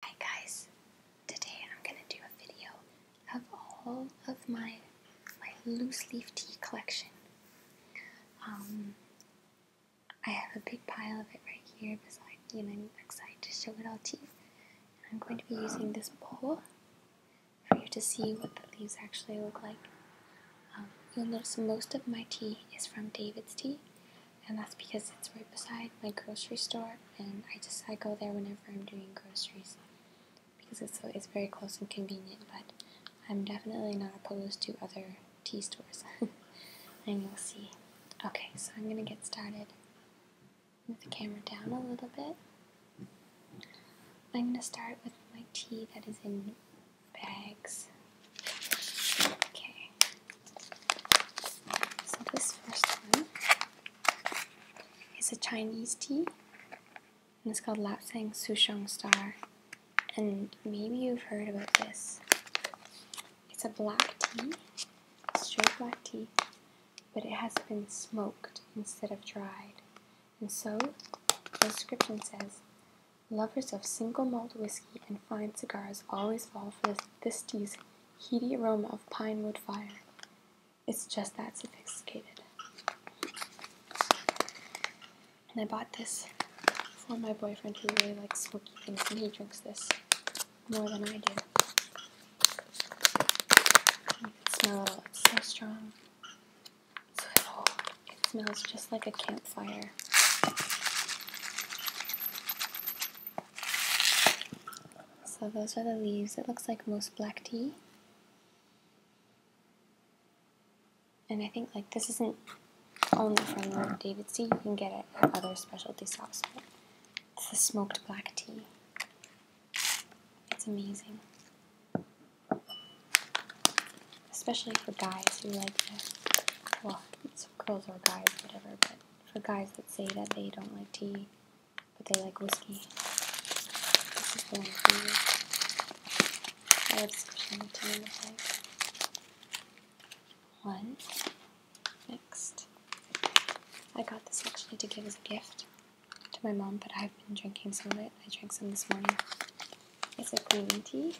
Hi guys, today I'm going to do a video of all of my, my loose leaf tea collection. Um, I have a big pile of it right here beside you and I'm excited to show it all to you. I'm going to be using this bowl for you to see what the leaves actually look like. Um, you'll notice most of my tea is from David's Tea and that's because it's right beside my grocery store, and I just I go there whenever I'm doing groceries because it's so it's very close and convenient. But I'm definitely not opposed to other tea stores, and you'll see. Okay, so I'm gonna get started. With the camera down a little bit. I'm gonna start with my tea that is in bags. Okay, so this first one is a Chinese tea, and it's called Lapsang Souchong Star. And maybe you've heard about this. It's a black tea, straight black tea, but it has been smoked instead of dried. And so, the description says, Lovers of single malt whiskey and fine cigars always fall for this, this tea's heaty aroma of pine wood fire. It's just that sophisticated. And I bought this for my boyfriend who really likes smoky things, and he drinks this more than I do. smell it It's so strong. it smells just like a campfire. So those are the leaves. It looks like most black tea. And I think like this isn't only from David's tea. You can get it at other specialty shops. it's a smoked black tea. It's amazing. Especially for guys who like the, well, it's girls or guys, whatever, but for guys that say that they don't like tea, but they like whiskey. One. Next. I got this actually to give as a gift to my mom, but I've been drinking some of it. I drank some this morning. It's a green tea.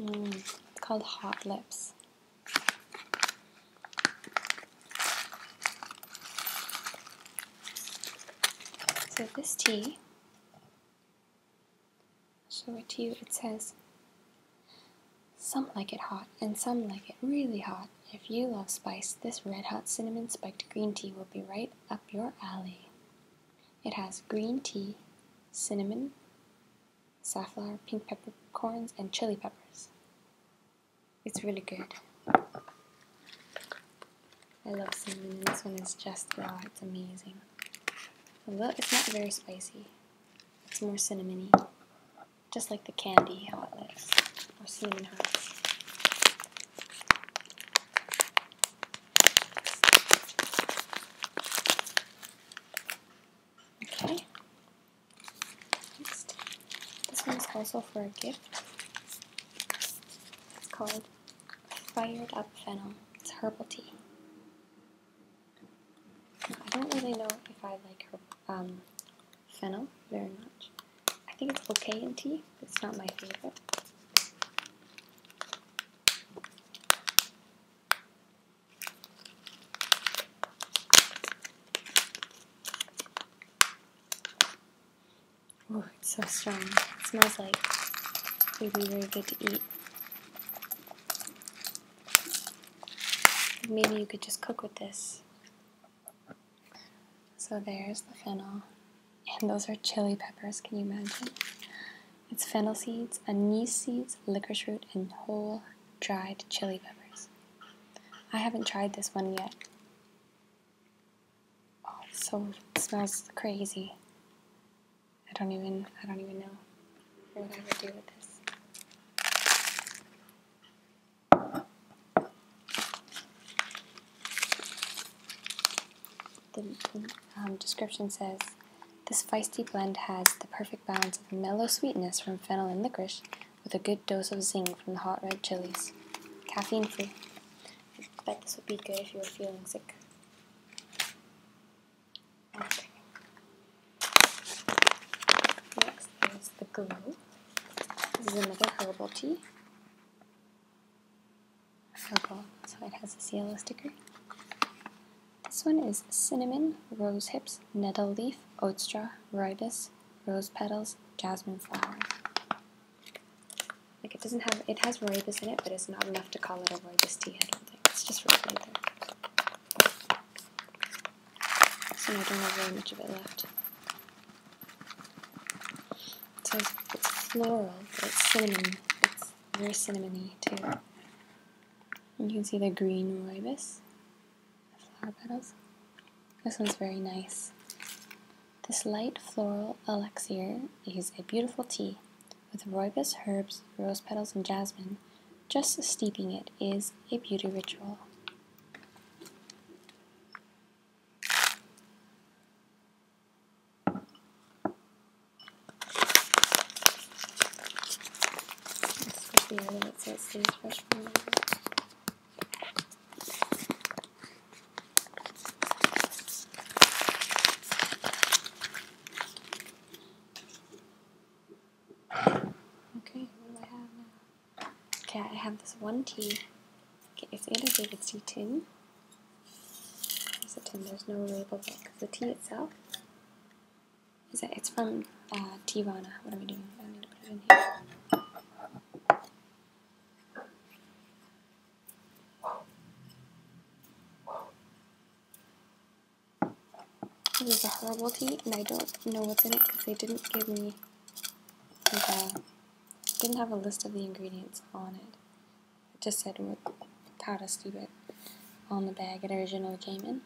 Mm, called Hot Lips. So this tea, I'll show it to you, it says, some like it hot and some like it really hot. If you love spice, this red hot cinnamon spiked green tea will be right up your alley. It has green tea, cinnamon, safflower, pink peppercorns, and chili peppers. It's really good. I love cinnamon. This one is just wow. It's amazing. Although it's not very spicy. It's more cinnamony. Just like the candy, how it looks. Or cinnamon hearts. Okay. This one is also for a gift. It's called Fired Up Fennel. It's herbal tea. I don't really know if I like fennel um, very much. I think it's okay in tea, but it's not my favorite. Oh, so strong. It smells like it'd be really good to eat. Maybe you could just cook with this. So there's the fennel. And those are chili peppers, can you imagine? It's fennel seeds, anise seeds, licorice root, and whole dried chili peppers. I haven't tried this one yet. Oh, so it smells crazy. I don't even I don't even know what I would do with this the um, description says this feisty blend has the perfect balance of mellow sweetness from fennel and licorice with a good dose of zing from the hot red chilies. Caffeine free. I bet this would be good if you were feeling sick. Okay. Next is the glue. This is another herbal tea purple, so it has a yellow sticker. This one is cinnamon, rose hips, nettle leaf, oat straw, ribus, rose petals, jasmine flower. Like it doesn't have, it has ribus in it, but it's not enough to call it a ribus tea, I don't think. It's just rose right there. So I don't have very much of it left. It says it's floral, but it's cinnamon. It's very cinnamony too. you can see the green rooibos, flower petals. This one's very nice. This light floral elixir is a beautiful tea with rooibos herbs, rose petals, and jasmine. Just steeping it is a beauty ritual. Okay, I have Okay, I have this one T. Okay, it's annotated C10. It's a 10, there's no label book. The tea itself is that it's from uh, Tivana. What are we doing? I am going to put it in here. This is a herbal tea, and I don't know what's in it because they didn't give me like didn't have a list of the ingredients on it just said what powder us it on the bag it originally came in.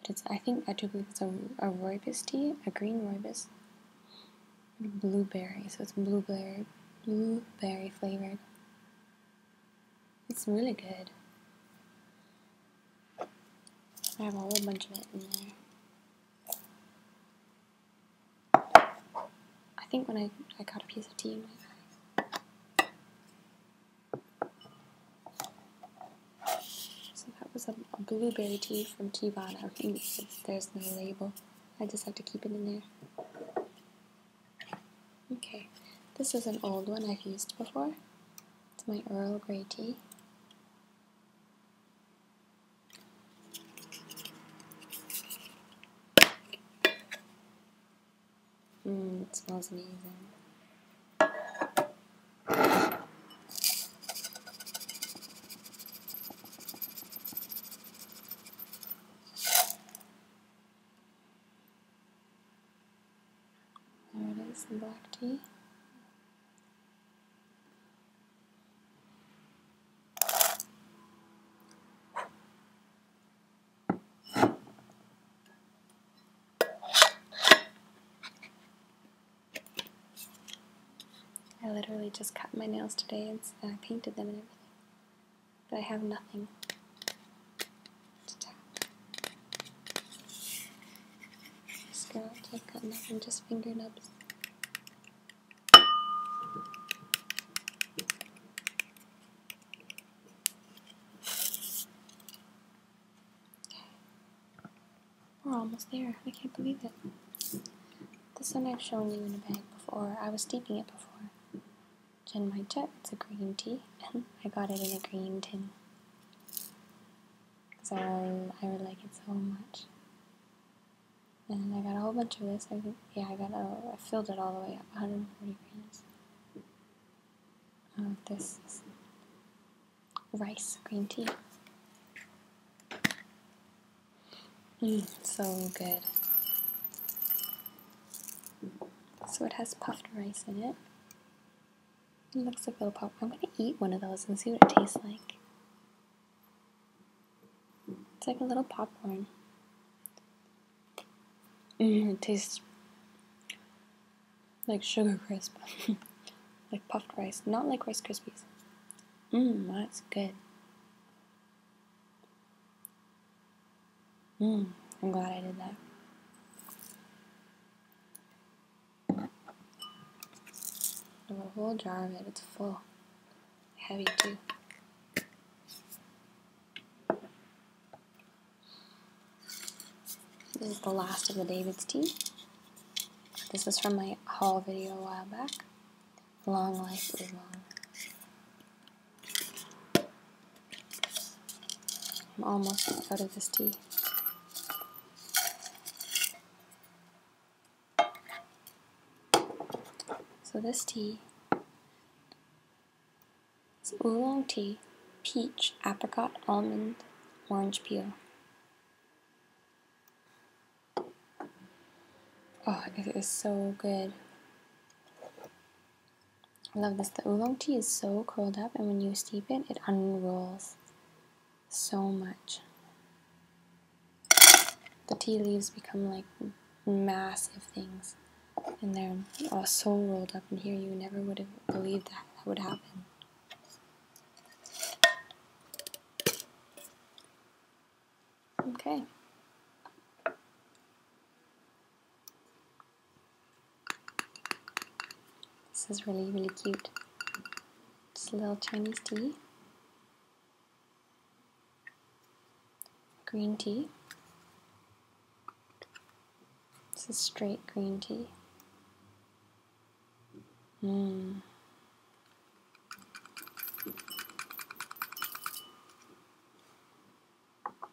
But it's, I think, I do believe it's a, a rooibos tea, a green rooibos. Blueberry, so it's blueberry, blueberry flavored. It's really good. I have a whole bunch of it in there. I think when I, I cut a piece of tea in my bag. So that was a, blueberry tea from Tivana. there's no label, I just have to keep it in there. Okay, this is an old one I've used before. It's my Earl Grey tea. Mmm, it smells amazing. There it is, the black tea. I literally just cut my nails today and I painted them and everything. But I have nothing to tap. Just go out, I've got nothing, just finger nubs. We're almost there. I can't believe it. This one I've shown you in a bag before. I was steeping it before. Gin it's a green tea, I got it in a green tin. So I, I like it so much. And I got a whole bunch of this. I think, yeah, I got a, I filled it all the way up, 140 grams of this rice green tea. Mm, so good. So it has puffed rice in it. looks like little pop. I'm gonna eat one of those and see what it tastes like. It's like a little popcorn. Mm, it tastes like sugar crisp, like puffed rice, not like Rice Krispies. Mmm, that's good. Mmm, I'm glad I did that. I have a whole jar of it, it's full heavy too. This is the last of the David's tea. This is from my haul video a while back. Long life is long. I'm almost out of this tea. So this tea is oolong tea, peach, apricot, almond, orange peel. Oh, it is so good. I love this. The oolong tea is so curled up and when you steep it, it unrolls so much. The tea leaves become like massive things, and they're all so rolled up And here. You never would have believed that that would happen. Okay. This is really, really cute. It's a little Chinese tea green tea. This is straight green tea. Mmm.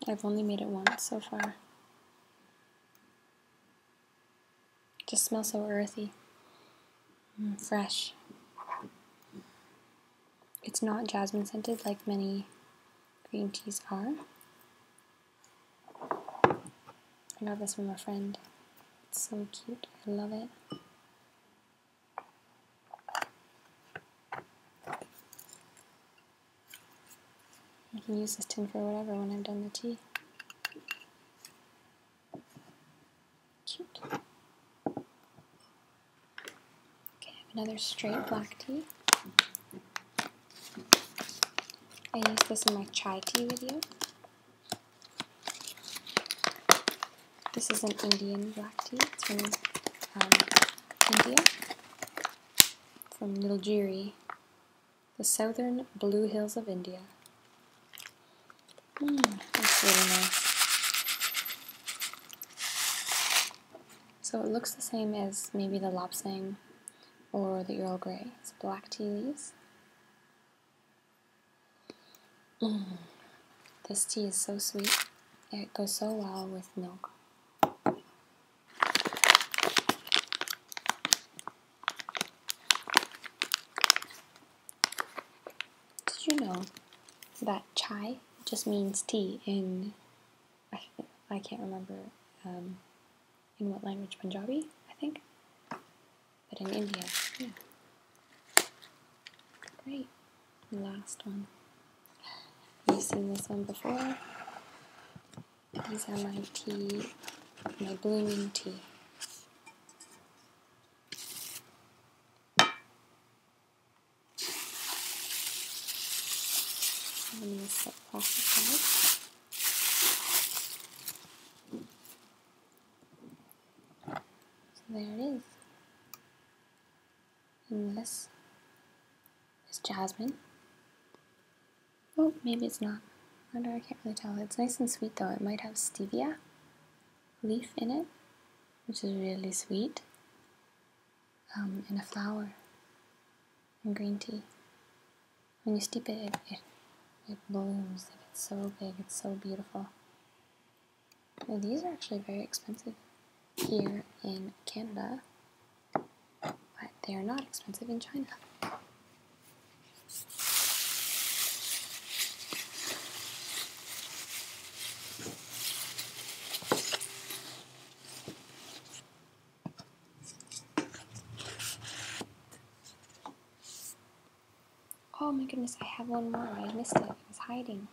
I've only made it once so far. It just smells so earthy. Mm, fresh. It's not jasmine scented like many green teas are. I got this from a friend. It's so cute. I love it. I can use this tin for whatever when I've done the tea. Cute. Okay, another straight black tea. I used this in my chai tea video. This is an Indian black tea. from um, India, from Nilgiri, the southern Blue Hills of India. So it looks the same as maybe the Lapsang or the Earl Grey. It's black tea leaves. Mm. this tea is so sweet. It goes so well with milk. Did you know that chai just means tea in, I, I can't remember um, in what language, Punjabi, I think? But in India, yeah. Great. last one. You've seen this one before. These are my tea, my blooming tea. I'm set plastic aside. So there it is. And this is jasmine. Oh, maybe it's not. I do I can't really tell. It's nice and sweet though. It might have stevia leaf in it, which is really sweet, um, and a flower and green tea. When you steep it, it, it, it blooms. it's so big, it's so beautiful. these are actually very expensive here in Canada, but they are not expensive in China. Oh my goodness, I have one more. I missed it. It was hiding.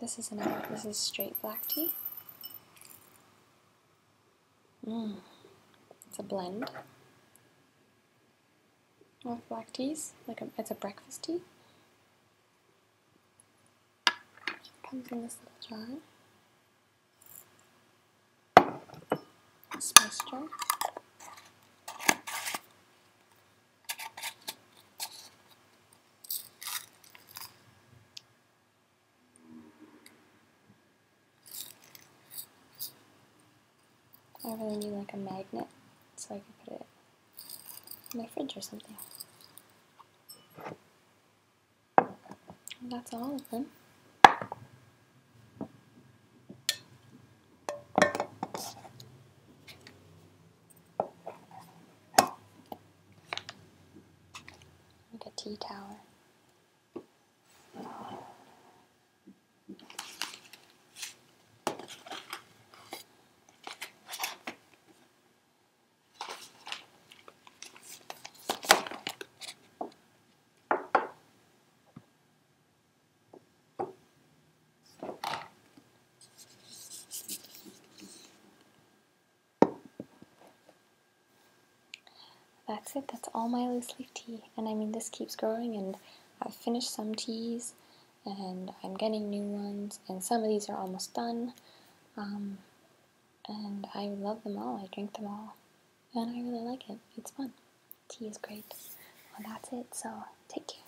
This isn't This is straight black tea. Mmm. It's a blend of black teas. Like it's a breakfast tea. Comes in this little jar. Spice I really need like a magnet so I can put it in my fridge or something. that's all of them. Like a tea tower. That's it, that's all my loose leaf tea. And I mean, this keeps growing, and I've finished some teas, and I'm getting new ones, and some of these are almost done. Um, and I love them all, I drink them all, and I really like it. It's fun. Tea is great. Well, that's it, so take care.